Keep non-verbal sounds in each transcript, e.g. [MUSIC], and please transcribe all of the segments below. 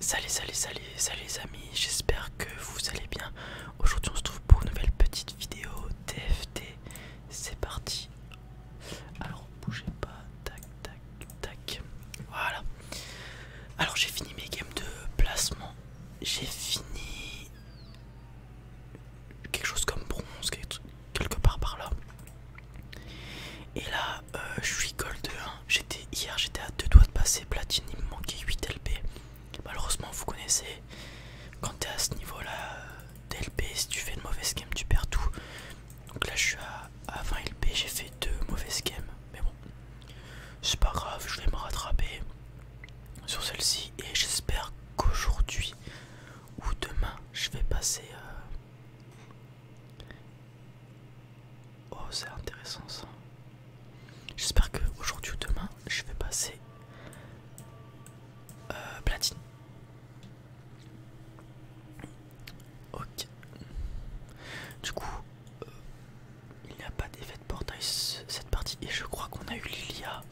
Salut, salut, salut, salut les amis, j'espère que vous allez bien. Aujourd'hui on se trouve pour une nouvelle petite vidéo TFT. C'est parti. Alors bougez pas, tac, tac, tac. Voilà. Alors j'ai fini mes games de placement. J'ai fini quelque chose comme bronze, quelque part par là. Et là, euh, je suis gold 1. Hein. J'étais Hier, j'étais à deux doigts de passer platine, il me manquait 8 LP. Malheureusement, vous connaissez, quand t'es à ce niveau-là d'LP, euh, si tu fais de mauvaise game, tu perds tout. Donc là, je suis à, 20 LP, j'ai fait deux mauvaises games. Mais bon, c'est pas grave, je vais me rattraper sur celle-ci et j'espère qu'aujourd'hui ou demain, je vais passer... Euh, Oh, c'est intéressant ça. J'espère que aujourd'hui ou demain, je vais passer euh, platine. Ok. Du coup, euh, il n'y a pas d'effet de portail cette partie et je crois qu'on a eu Lilia.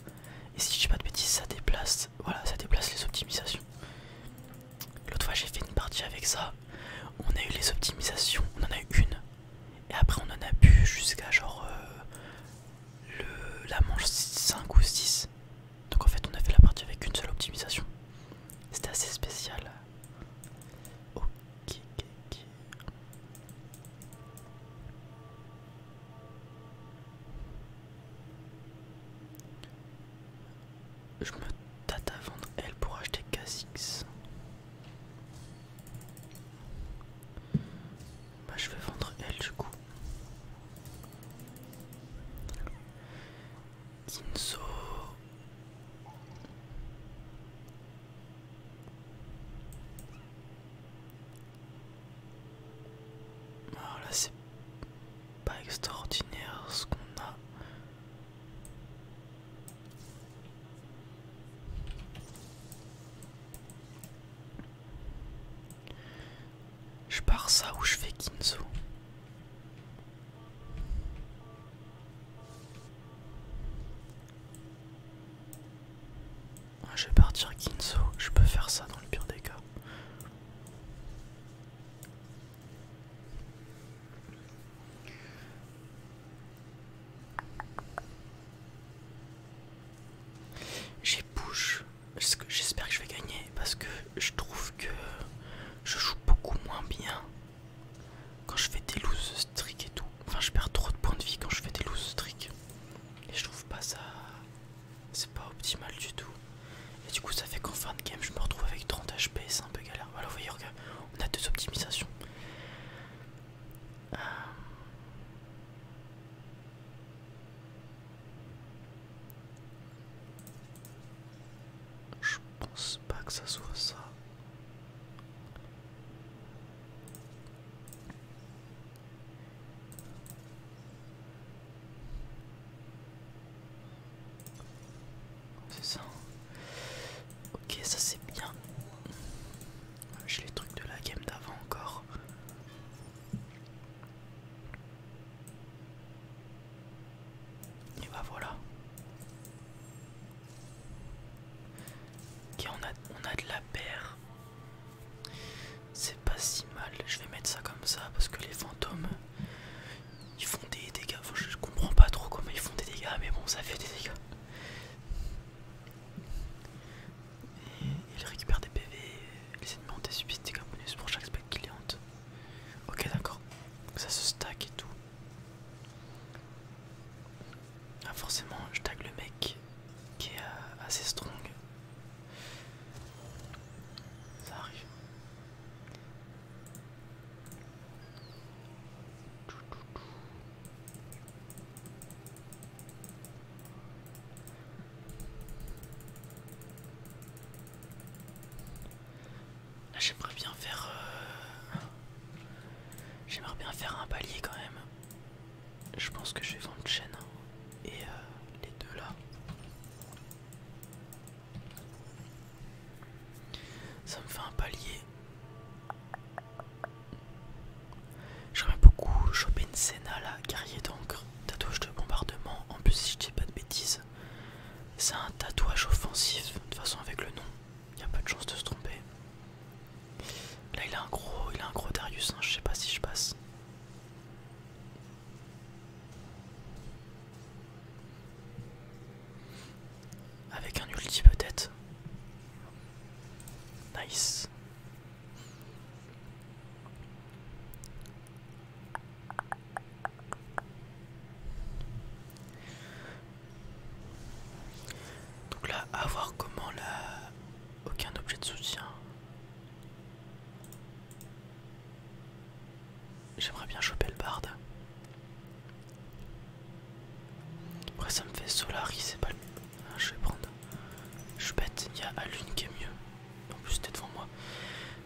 Et si je dis pas de bêtises, ça déplace, voilà, ça déplace les optimisations. L'autre fois, j'ai fait une partie avec ça. On a eu les optimisations, on en a eu une. Et après on en a bu jusqu'à genre euh, le, la manche 5 ou 6. Donc en fait on a fait la partie avec une seule optimisation. C'était assez spécial. Je me tâte à vendre elle pour acheter Kha'Zix. Bah, je vais vendre elle du coup. Alors là, c'est pas extraordinaire ce qu'on a. Je pars ça ou je fais Kinzo ah, Je vais partir Kinzo, je peux faire ça dans le pire des cas. J'ai push, j'espère que je vais gagner parce que je trouve que je joue beaucoup moins bien quand je fais des loose streaks et tout. Enfin, je perds trop de points de vie quand je fais des loose streaks Et je trouve pas ça. C'est pas optimal du tout. Et du coup, ça fait qu'en fin de game, je me retrouve avec 30 HP, c'est un peu galère. Voilà, vous on a deux optimisations. Euh, je pense pas que ça soit ça. C'est ça. Ok, ça c'est bien. J'ai les trucs de la game d'avant encore. Et bah voilà. Ok, on a, on a de la paire. C'est pas si mal. Je vais mettre ça comme ça parce que les fantômes ils font des dégâts. je comprends pas trop comment ils font des dégâts, mais bon, ça fait des dégâts. Et il récupère des PV, les ennemis des subits des bonus pour chaque spec qu'il Ok, d'accord, ça se stack et tout. Ah, forcément, je tag le mec qui est euh, assez strong. Ça arrive j'aimerais bien faire... Euh, j'aimerais bien faire un palier quand même. Je pense que je vais vendre chaîne hein, et euh, les deux là. Ça me fait un palier. J'aimerais beaucoup choper une Senna là, guerrier d'encre, tatouage de bombardement. En plus, si je dis pas de bêtises, c'est un tatouage offensif. De toute façon, avec le nom, il a pas de chance de se tromper. Là, il a un gros, il a un gros Darius. Hein. Je sais pas si je passe. Avec un ulti peut-être. Nice. Donc là, à voir comment là Aucun objet de soutien. J'aimerais bien choper le barde. Après ça me fait solariser c'est pas le... Ah, je vais prendre... Je suis bête, il y a Alune qui est mieux. En plus t'es devant moi.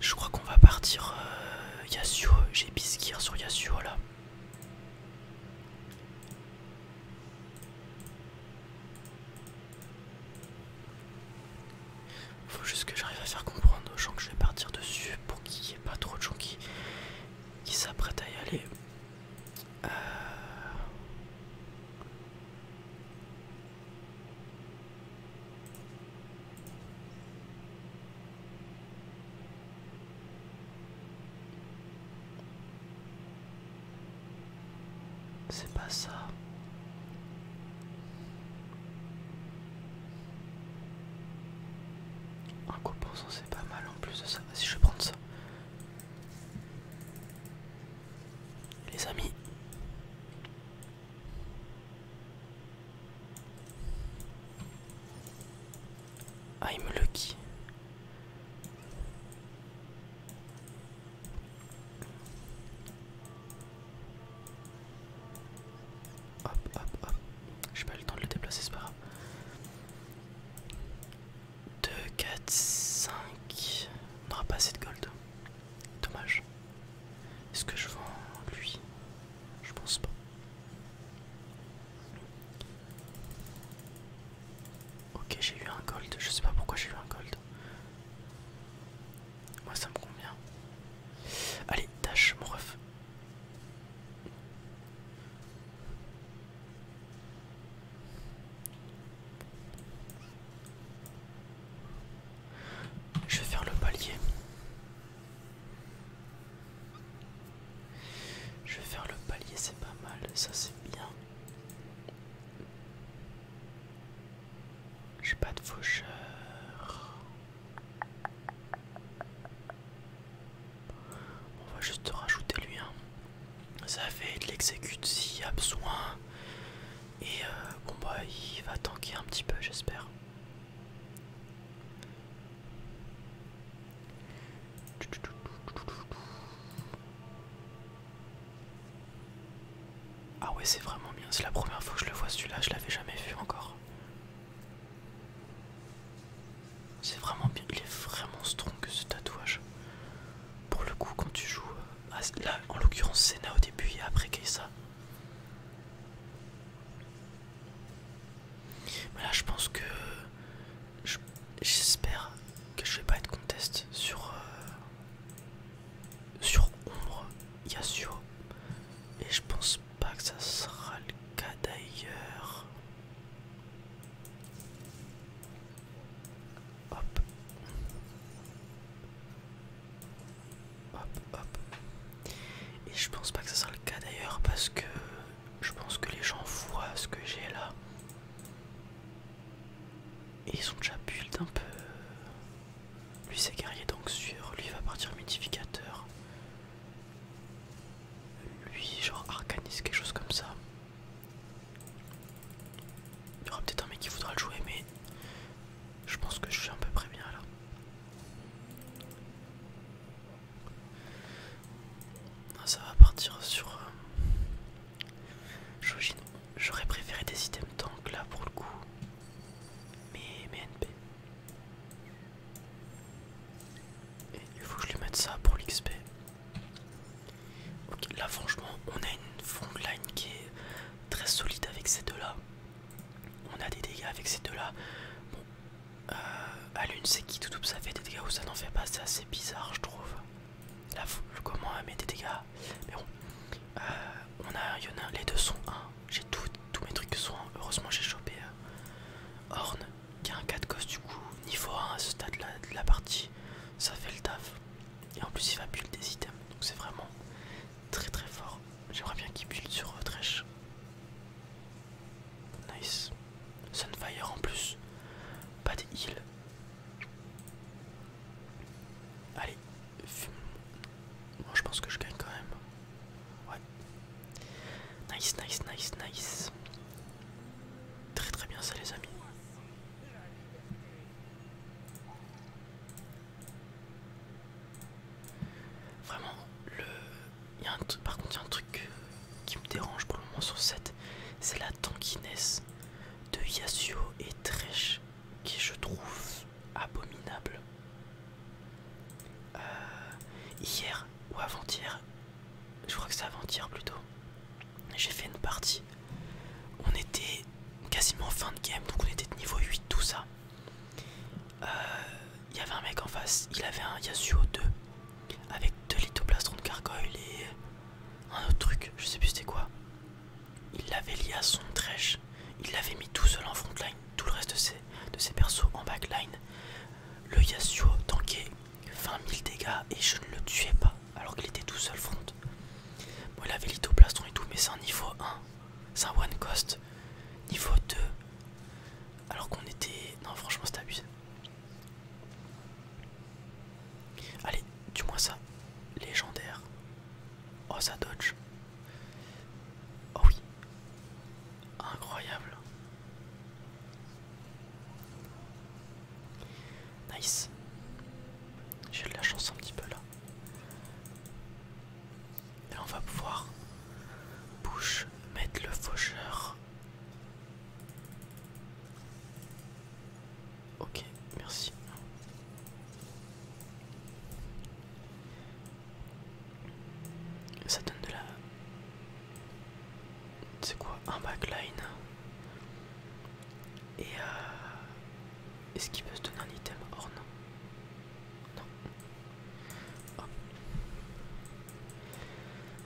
Je crois qu'on va partir euh, Yasuo. J'ai Biskir sur Yasuo là. Faut juste que j'arrive à faire comprendre aux gens que je vais partir dessus pour qu'il n'y ait pas trop de gens qui, qui s'apprêtent à y aller. Euh. C'est pas ça. Un coup pour cent c'est pas mal en plus de ça. Vas-y je vais prendre ça. Les amis. I'm lucky. Hop, hop, hop. J'ai pas eu le temps de le déplacer, c'est pas grave. 2, 4, 5. On n'aura pas assez de gold. Dommage. Est-ce que je vends lui Je pense pas. Ok, j'ai eu un gold. Je sais pas pourquoi j'ai eu un gold. Moi ça me convient. Allez, tâche mon ref. Je vais faire le palier. Je vais faire le palier, c'est pas mal, ça c'est bien. J'ai pas de faucheur. On va juste rajouter lui. Hein. Ça fait de l'exécute s'il y a besoin. Et euh, bon bah il va tanker un petit peu j'espère. Ah ouais c'est vraiment bien, c'est la première fois que je le vois celui-là, je l'avais jamais vu encore. C'est vraiment bien, il est vraiment strong ce tatouage. Pour le coup, quand tu joues, euh, là en l'occurrence Senna au début et après Keisa. Mais là, je pense que j'espère que je vais pas être conteste sur euh, sur ombre Yasuo et je pense pas que ça sera le cas d'ailleurs. Hop. Hop, Et je pense pas que ça sera le cas d'ailleurs parce que je pense que les gens voient ce que j'ai là. Et ils sont déjà build un peu lui c'est guerrier donc sur, lui va partir modificateur. Lui genre arcaniste, quelque chose comme ça. Il y aura peut-être un mec qui voudra le jouer mais je pense que je suis un peu près bien là. Ça va partir sur euh, J'aurais préféré des items tank là pour le coup. Mais mes NP. il faut que je lui mette ça pour l'XP. là franchement, on a une front line qui est très solide avec ces deux-là. On a des dégâts avec ces deux-là. Bon, euh, à l'une c'est qui tout ça fait des dégâts ou ça n'en fait pas, c'est assez bizarre je trouve. Là, comment elle met des dégâts Mais bon, euh, on a, les deux sont un. J'ai tout tous mes trucs sont. Heureusement, j'ai chopé euh, Horn qui a un 4 cos du coup, niveau 1 à ce stade là de la partie. Ça fait le taf. Et en plus, il va build des items donc c'est vraiment très très fort. J'aimerais bien qu'il build sur euh, Trèche. Nice. Sunfire en plus. Pas de heal. Allez, je pense que je gagne quand même. Ouais. Nice, nice, nice, nice. Très très bien ça les amis. Vraiment, le... par contre il y a un truc qui me dérange pour le moment sur cette, c'est la tankiness de Yasuo et Tresh qui je trouve abominable. Euh, hier ou avant-hier, je crois que c'est avant-hier plutôt, j'ai fait une partie. On était quasiment fin de game, donc on était de niveau 8, tout ça. Euh, il y avait un mec en face, il avait un Yasuo 2 avec deux lithoplastrons de Cargoyle et un autre truc, je sais plus c'était quoi. Il l'avait lié à son trèche. Il l'avait mis tout seul en frontline. Tout le reste de ses, de ses persos en backline. Le Yasuo tankait 20 000 dégâts et je ne le tuais pas alors qu'il était tout seul front. Bon, il avait l'itoplaston et tout, mais c'est un niveau 1. C'est un one cost. Niveau 2. Alors qu'on était. Non, franchement, c'est abusé. Allez, du moi ça. Légendaire. Oh, ça dodge. Oh oui. Incroyable. Nice. J'ai de la chance un petit peu là. Et là, on va pouvoir bouger mettre le faucheur. Ok, merci. Ça donne de la... C'est quoi Un backline Et euh, Est-ce qu'il peut se donner un item Horn non.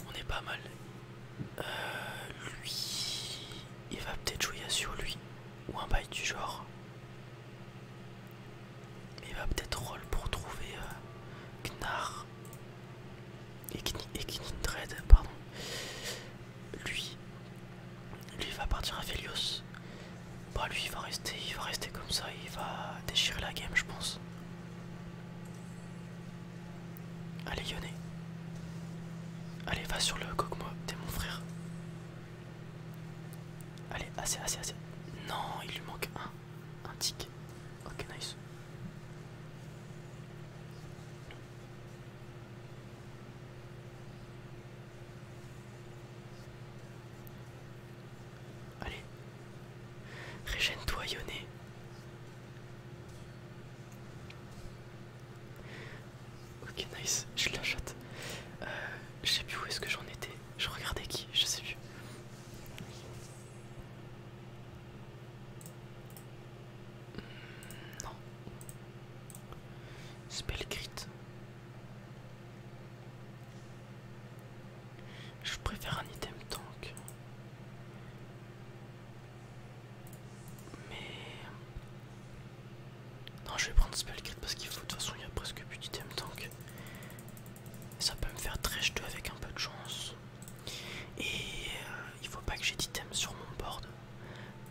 On est pas mal. Euh, lui... Il va peut-être jouer à sur lui. Ou un bail du genre il va peut-être roll pour trouver euh, Gnar et, pardon. Lui, lui va partir à Felios, Bah lui il va rester, il va rester comme ça, il va déchirer la game je pense. Allez Yoné. Allez va sur le coque-moi, t'es mon frère. Allez, assez, assez, assez. Non, il lui manque un. Un tic. Ok, nice. Allez. Régène-toi, Ok, nice, je l'achète. Euh, je sais plus où est-ce que j'en étais. Je regardais qui, je sais plus. Hmm, non. Spell Je préfère un item tank. Mais... Non, je vais prendre Spellcrit parce qu'il faut. De toute façon, il n'y a presque plus d'item tank. Ça peut me faire très 2 avec un peu de chance. Et euh, il faut pas que j'ai d'item sur mon board.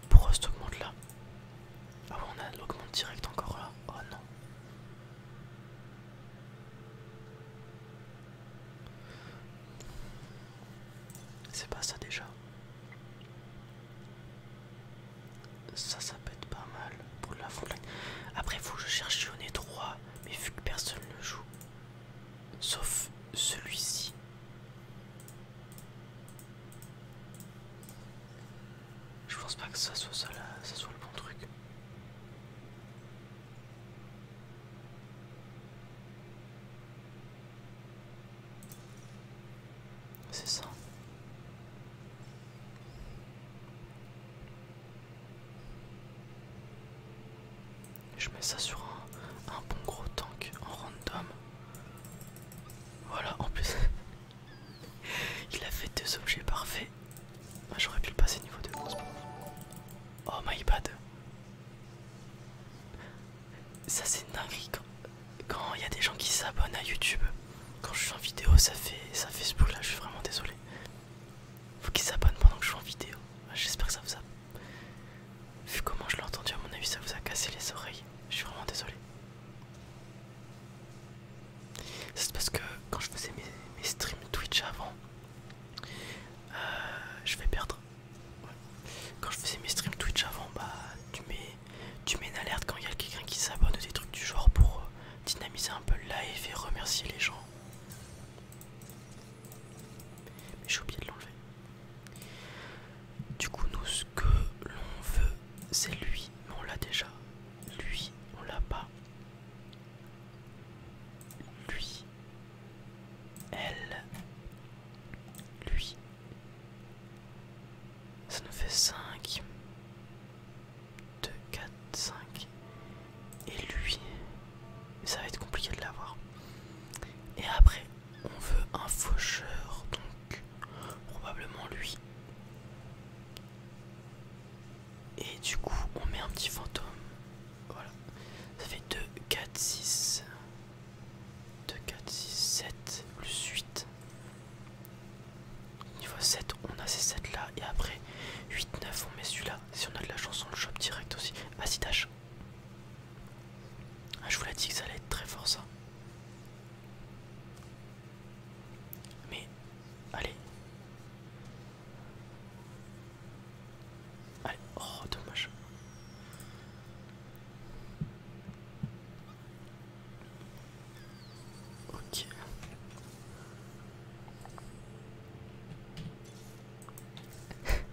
Pour ce augmente là. Ah ouais, on a l'augment direct encore là. Oh non. C'est pas ça déjà. Ça, ça peut pas mal pour la foulette Après, faut que je cherche un 3, mais vu que personne ne joue, sauf celui-ci. Je pense pas que ça soit ça, là, ça soit le bon truc. C'est ça. Je mets ça sur un, bon gros tank en random. Voilà, en plus, [LAUGHS] il a fait deux objets parfaits. Ah, j'aurais pu le passer niveau 2. Oh my bad. Ça c'est dingue quand il y a des gens qui s'abonnent à YouTube, quand je suis en vidéo, ça fait, ça fait ce là, je suis vraiment désolé. Faut qu'ils s'abonnent pendant que je suis en vidéo. Ah, j'espère que ça vous a. Vu comment je l'ai entendu, à mon avis, ça vous a cassé les oreilles. Je suis vraiment désolé. C'est parce que quand je faisais mes, streams Twitch avant, euh, je vais perdre. Quand je faisais mes streams Twitch avant, bah tu mets tu mets une alerte quand il y a quelqu'un qui s'abonne des trucs du genre pour euh, dynamiser un peu le live et remercier les gens. Mais j'ai oublié de l'enlever. Du coup, nous, ce que l'on veut, c'est lui, mais on l'a déjà. Lui, on l'a pas. Lui, elle, lui, ça nous fait 5. 2, 4, 5. Et lui, ça va être compliqué de l'avoir. Et après, on veut un faucheur, donc probablement lui. Et du coup, on met un petit fantôme. Voilà. Ça fait 2, 4, 6. 2, 4, 6, 7, plus 8. Niveau 7, on a ces 7 là et après 8, 9 on met celui-là. Si on a de la chance on le chope direct aussi. vas-y Ah, je vous l'ai dit que ça allait être très fort ça. Mais allez. Allez, oh dommage. Ok. [LAUGHS]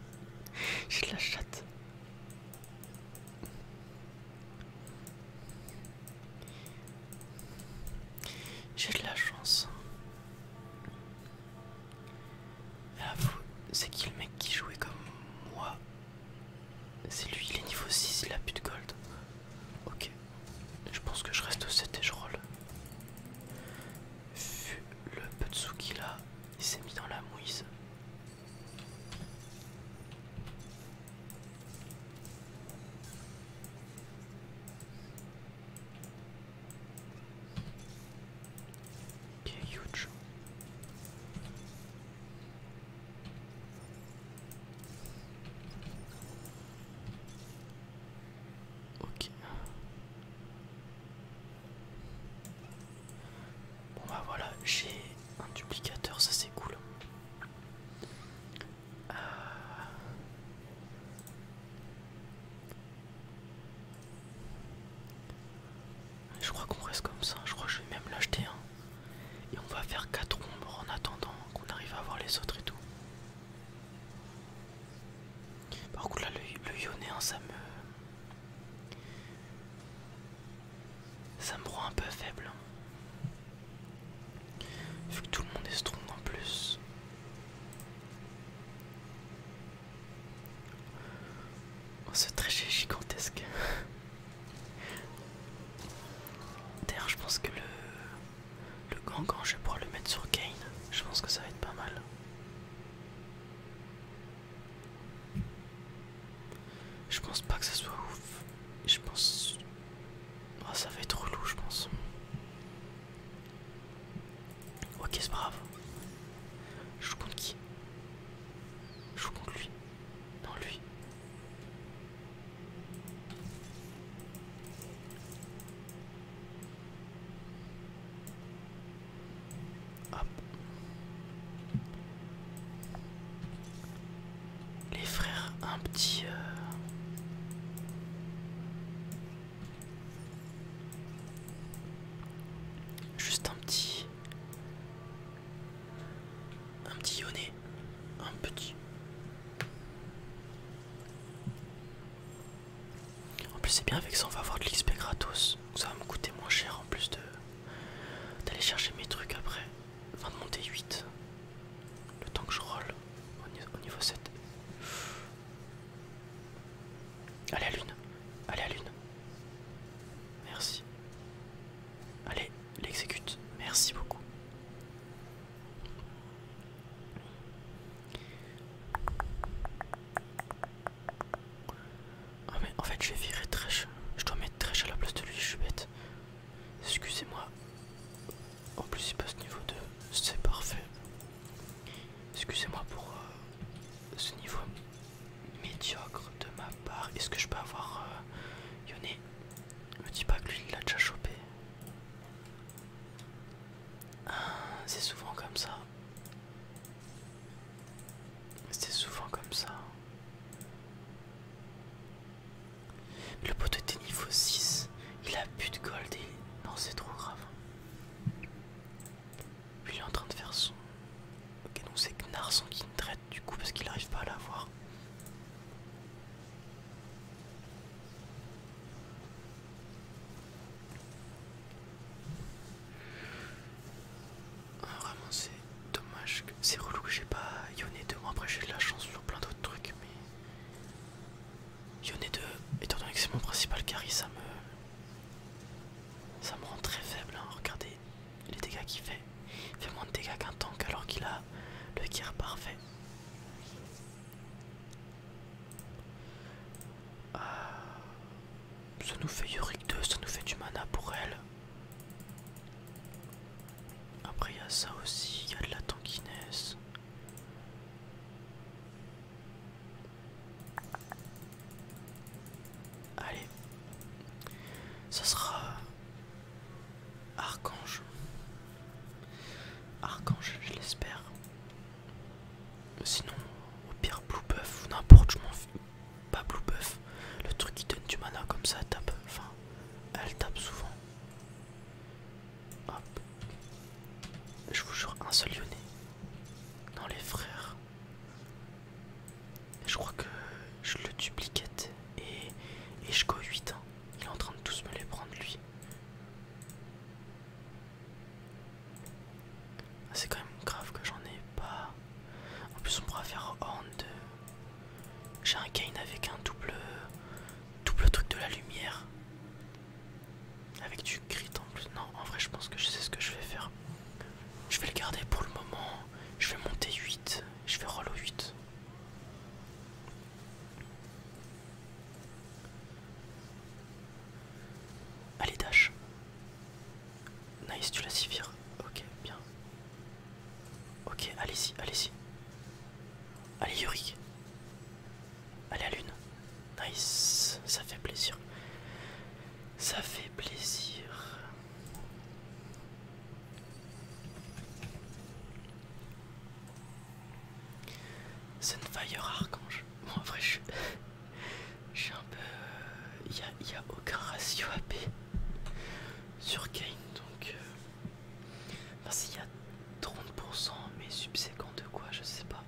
J'ai de la chatte. J'ai de la chance. c'est qui le mec qui jouait comme moi c'est lui, il est niveau 6, il a plus de gold. Ok, je pense que je reste au 7 et je roll. le peu de a, il s'est mis dans la mouise. Ok, huge. Ok. Bon bah voilà, j'ai un duplicateur, ça c'est cool. Euh. Je crois qu'on reste comme ça, je crois que je vais même l'acheter hein. Et on va faire quatre ombres en attendant qu'on arrive à voir les autres et tout. Par contre là le, le hein, ça me... Ça me rend un peu faible. Hein. Vu que tout le monde est strong en plus. Oh, ce trajet gigantesque. [LAUGHS] D'ailleurs je pense que le, le Gangan je vais pouvoir le mettre sur Kane, je pense que ça va être pas mal. Je pense pas que ça soit ouf. Je pense... Oh, ça va être relou je pense. Ok c'est pas grave. Je joue compte qui Je joue contre lui. Non, lui. Les frères, un petit... Euh, juste un petit un petit yonné, un petit. En plus c'est bien avec ça on va avoir de l'XP gratos. Ça va me coûter moins cher en plus de d'aller chercher mes trucs après. Enfin de monter 8. Le temps que je roll au niveau 7. Allez à lune. Allez à lune. Merci. Allez, l'exécute. Merci beaucoup. Ah mais en fait je vais virer Tresh. Je dois mettre Très à la place de lui, je suis bête. Excusez-moi. En plus il passe niveau 2. C'est parfait. Excusez-moi pour euh, ce niveau médiocre de ma part. Est-ce que je peux avoir euh, Yone Me dis pas que lui il l'a déjà chopé. Ah, c'est souvent comme ça. C'est souvent comme ça. Le poteau était niveau 6. Il a but de gold et... Non c'est trop grave. Lui il est en train de faire son... Ok donc c'est Gnarson qui me du coup parce qu'il n'arrive pas à la voir. Ah, vraiment c'est dommage, c'est relou que j'ai pas Yone deux. moi après j'ai de la chance sur plein d'autres trucs mais Yone deux, étant donné que c'est mon principal carry ça me ça me rend très faible hein. regardez les, dégâts qu'il fait. Il fait moins de dégâts qu'un tank alors qu'il a le gear parfait. Euh, ça nous fait Yorick 2, ça nous fait du mana pour elle. Après il y a ça aussi, il y a de la tankiness. Allez, ça sera euh, Archange. Archange, je l'espère. Sinon, au pire, Blue Buff ou n'importe, je m'en fous. Pas Blue Buff, le truc qui donne du mana comme ça, elle tape. Enfin, elle tape souvent. Hop. Je vous jure, un seul Lyonnais. Non, les frères. Je crois que je le dupliquette et, je go 8. Hein. Il est en train de tous me les prendre lui. Ah, c'est quand même grave que j'en ai pas. En plus on pourra faire horn de... J'ai un gain avec un double double truc de la lumière. Avec du crit en plus. Non en vrai je pense que je sais ce que je vais faire. Je vais le garder pour le moment. Je vais monter 8. Je vais roll au 8. Allez, dash. Nice, tu la vire. Ok, bien. Ok, allez-y, allez-y. Allez, Yuri. Allez, à lune. Nice, ça fait plaisir. Ça fait plaisir. Sunfire Archange. Bon, en vrai, je, suis un peu. Il euh, n'y a, aucun ratio AP sur Kane, donc. Euh, enfin, s'il y a 30%, mais subséquent de quoi, je sais pas.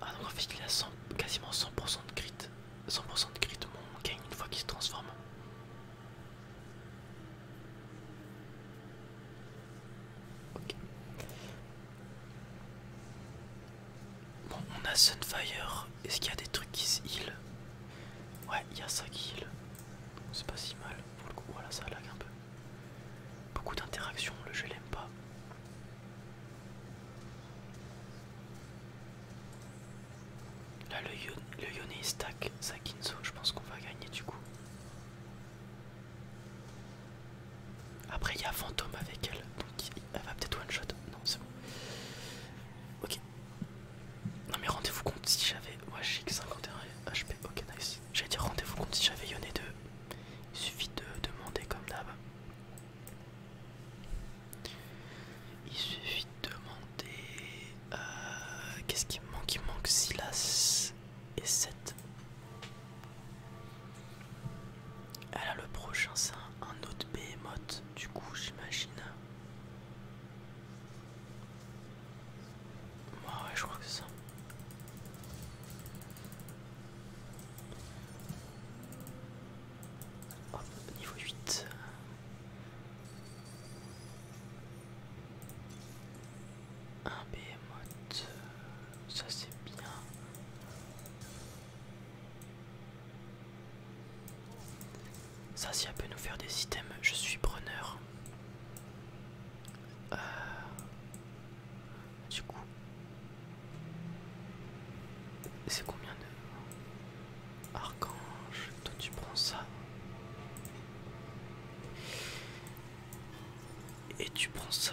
Ah donc en fait il a quasiment 100% de crit, 100% de crit mon gain une fois qu'il se transforme. Bon on a Sunfire, est-ce qu'il y a des trucs qui se heal Ouais il y a ça qui heal, c'est pas si mal pour le coup, voilà ça lag un peu. Beaucoup d'interactions, le jeu l'aime pas. Là le, Yone stack sa je pense qu'on va gagner du coup. Après il y a Fantôme avec elle, donc elle va peut-être one shot. Non c'est bon. Ok. Non mais rendez-vous compte si j'avais. ouais, j'ai HP, ok nice. J'allais dire rendez-vous compte si j'avais Yone 2. Il suffit de demander comme d'hab. Il suffit de demander... Euh, qu'est-ce qui me manque Il manque Silas et 7. Alors le prochain c'est un, autre behemoth du coup j'imagine. Ouais, ouais je crois que c'est ça niveau 8. Un behemoth, ça c'est bien. Ça, si elle peut nous faire des items, je suis preneur. Euh, du coup. C'est combien de... Archange, toi tu prends ça. Et tu prends ça.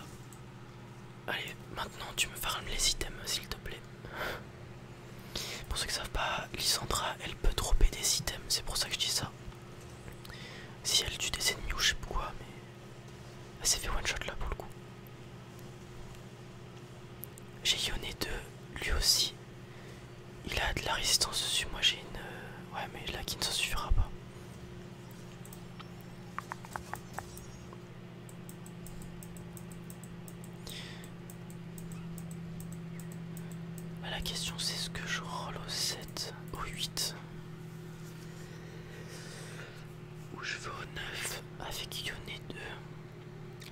Allez, maintenant tu me farmes les items s'il te plaît. Pour ceux qui savent pas, Lysandra elle peut dropper des items, c'est pour ça que je dis ça. Si elle tue des ennemis ou je sais pas quoi, mais elle s'est fait one shot là pour le coup. J'ai Yoné 2, lui aussi. Il a de la résistance dessus, moi j'ai une... Euh, ouais mais là qui ne s'en suffira pas. Bah, la question c'est ce que je roll au 7, au 8 je veux au 9 avec Yone 2.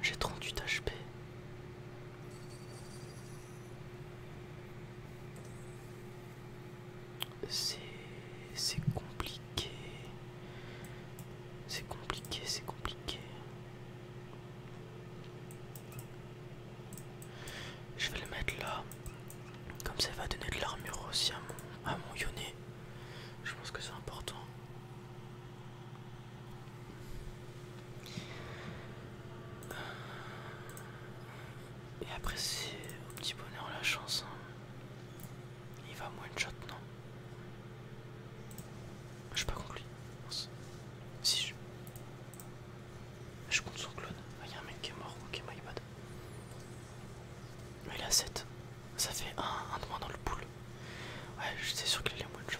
J'ai 38 HP. C'est compliqué. C'est compliqué, c'est compliqué. Je vais le mettre là. Comme ça, va donner de l'armure aussi à mon, à je pense que c'est important. Et après c'est au petit bonheur la chance. Hein. Il va moins de shot, non Je suis pas conclu. Si je... Je compte sur ah, Il y a un mec qui est mort, ok my bad. Mais il a 7. Ça fait un, un de moins dans le pool. Ouais, c'est sûr qu'il les de shot.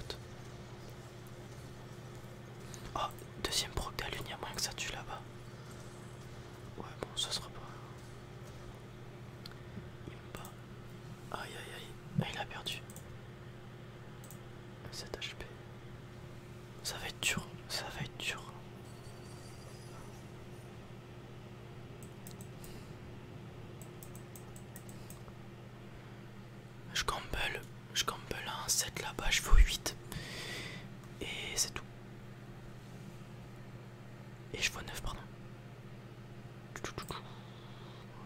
Oh, deuxième proc lune, il y a moins que ça tue là-bas. Ouais, bon, ça sera pas. Il me bat. Aïe aïe aïe, ah, il a perdu. 7 HP. Ça va être dur, ça va être dur. Je gamble, je gamble un 7 là-bas, je fais 8. Et c'est tout. Et je vois 9, pardon.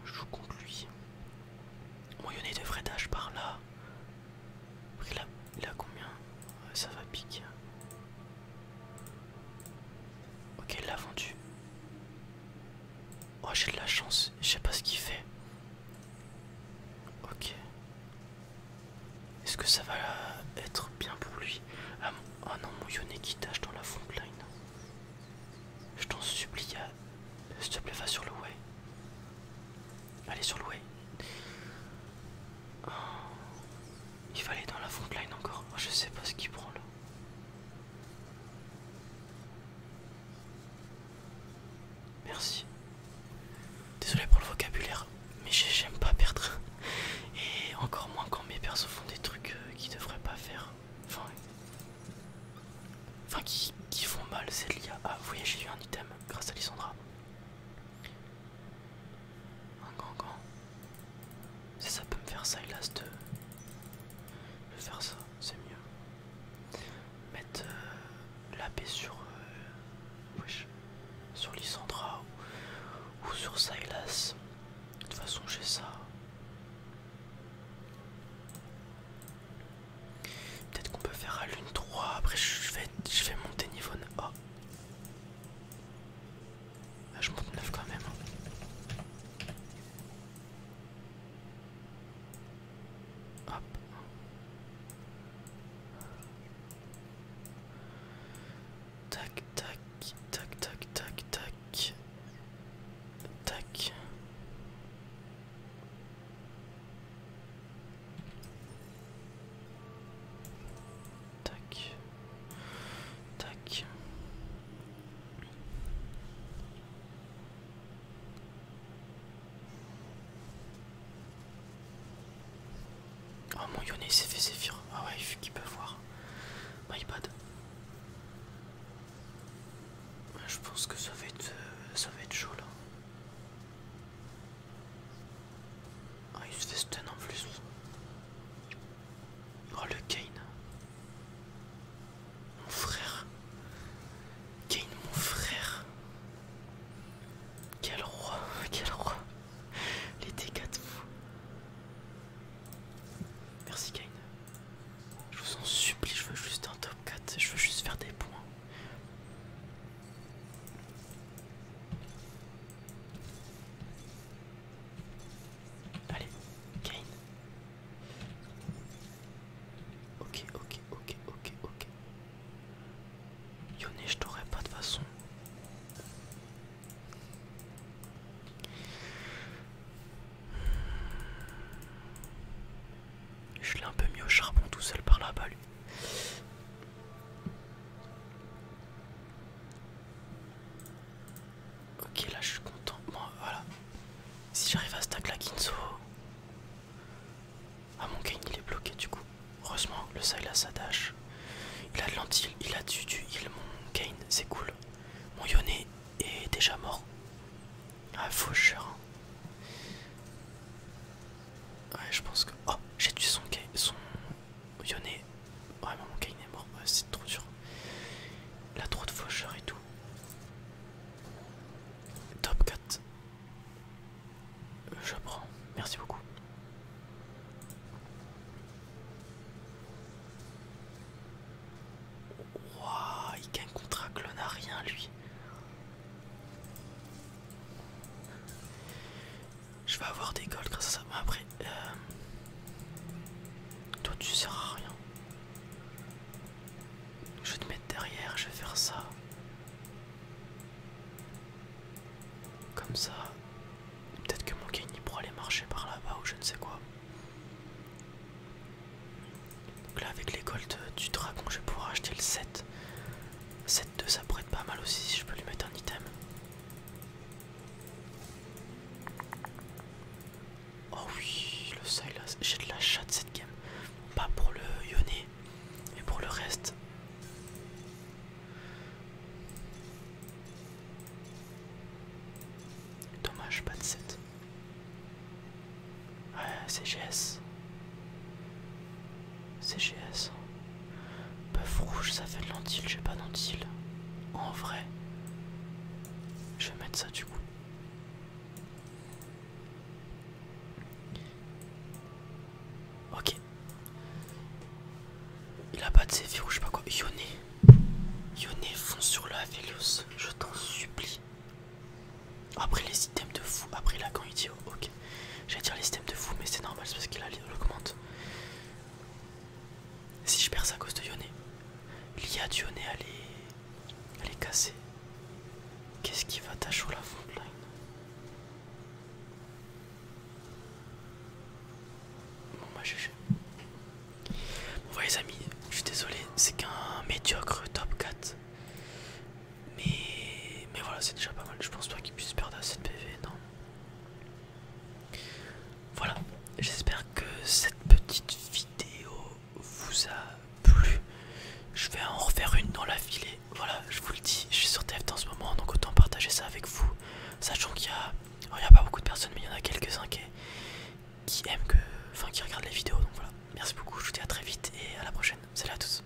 Je joue contre lui. deux de d'âge par là. Il a, il a combien Ça va piquer. Ok, il l'a vendu. Oh, j'ai de la chance, je sais pas ce qu'il fait. Ok. Est-ce que ça va être bien pour lui ah, Oh non, mon tâche dans la frontline. Je t'en supplie, s'il te plaît, va sur le way. Allez, sur le way. Oh. Il fallait dans la frontline encore. Je sais pas ce qu'il prend là. Merci. Désolé pour le vocabulaire, mais j'aime pas perdre. Et encore moins quand mes persos font des trucs euh, qu'ils devraient pas faire. Enfin, enfin qui, font mal, c'est l'IA. Ah, oui j'ai eu un item grâce à Lissandra. Un grand grand. Si ça peut me faire Silas 2, je vais faire ça, c'est mieux. Mettre euh, la paix sur... Euh, ou, sur Silas. De toute façon, j'ai ça. Peut-être qu'on peut faire à lune 3, après je vais, je vais monter niveau A. Ah. Ah, je monte 9 quand même. Hein. Hop. Tac, tac, tac, tac, tac, tac. Tac. Tac. Tac. Oh mon Yone s'est fait sévir. Ah ouais, il peut voir. iPad. Je pense que ça va être euh, ça va être chaud là. Ah, il se fait stun en plus. Oh, le Kane. Mon frère. Kane, mon frère. Quel roi, [LAUGHS] quel roi. Les dégâts de fou. Merci Kane. Je vous en supplie, je veux juste un top 4. Je veux juste faire des points. Allez, Kane. Ok, ok, ok, ok, ok. Yone, je t'aurais pas de façon. Je l'ai un peu mis au charbon tout seul par la lui. Ok, là je suis content. Moi voilà. Si j'arrive à stack la Kinzo. Ah, mon gain il est bloqué du coup. Heureusement, le Sail a Il a de l'antil, il a du, du heal, mon gain, c'est cool. Mon Yone est déjà mort. Ah, faucheur. Hein. Ouais, je pense que. Oh, j'ai tué son, son Yoné, vraiment mon Kayn est mort, c'est trop dur. Il a trop de faucheurs et tout. Top 4. Euh, je prends, merci beaucoup. Waouh, il gagne contre un clone rien lui. Je vais avoir des golds grâce à ça. après, euh, toi tu sers à rien. Je vais te mettre derrière, je vais faire ça. Comme ça. Peut-être que mon gain il pourra aller marcher par là-bas ou je ne sais quoi. Donc là avec les golds du dragon je vais pouvoir acheter le 7. 7 2 ça pourrait être pas mal aussi si je peux lui mettre un item. Oh oui, le side j'ai de la chatte cette game. Pas pour le Yoné, mais pour le reste. Dommage, pas de 7. Ouais, CGS. CGS. Bœuf rouge, ça fait de lentille, j'ai pas lentille En vrai. Je vais mettre ça du coup. Ok. Il a pas de ces ou je sais pas quoi. Yone, Yone fonce sur la Vélos. Je t'en supplie. Après les items de fou. Après la quand ok. Oh, J'allais dire les systèmes de fou, mais c'est normal, c'est parce qu'il a augmente. Si je perds ça à cause de Yone, l'IA de Yone elle est, cassée. Qu'est-ce qui va tâcher la frontline Bon bah GG. Bon bah, les amis, je suis désolé, c'est qu'un médiocre top 4. Mais, mais voilà, c'est déjà pas mal. Je pense pas qu'ils puisse perdre assez de PV, non Voilà, j'espère que cette petite vidéo vous a plu. Je vais en refaire une dans la filée. Voilà, je vous le dis, je suis sur TF en ce moment, donc autant partager ça avec vous. Sachant qu'il y a, oh, pas beaucoup de personnes, mais il y en a quelques-uns qui, aiment que, enfin qui regardent les vidéos. Donc voilà, merci beaucoup. Je vous dis à très vite et à la prochaine. Salut à tous.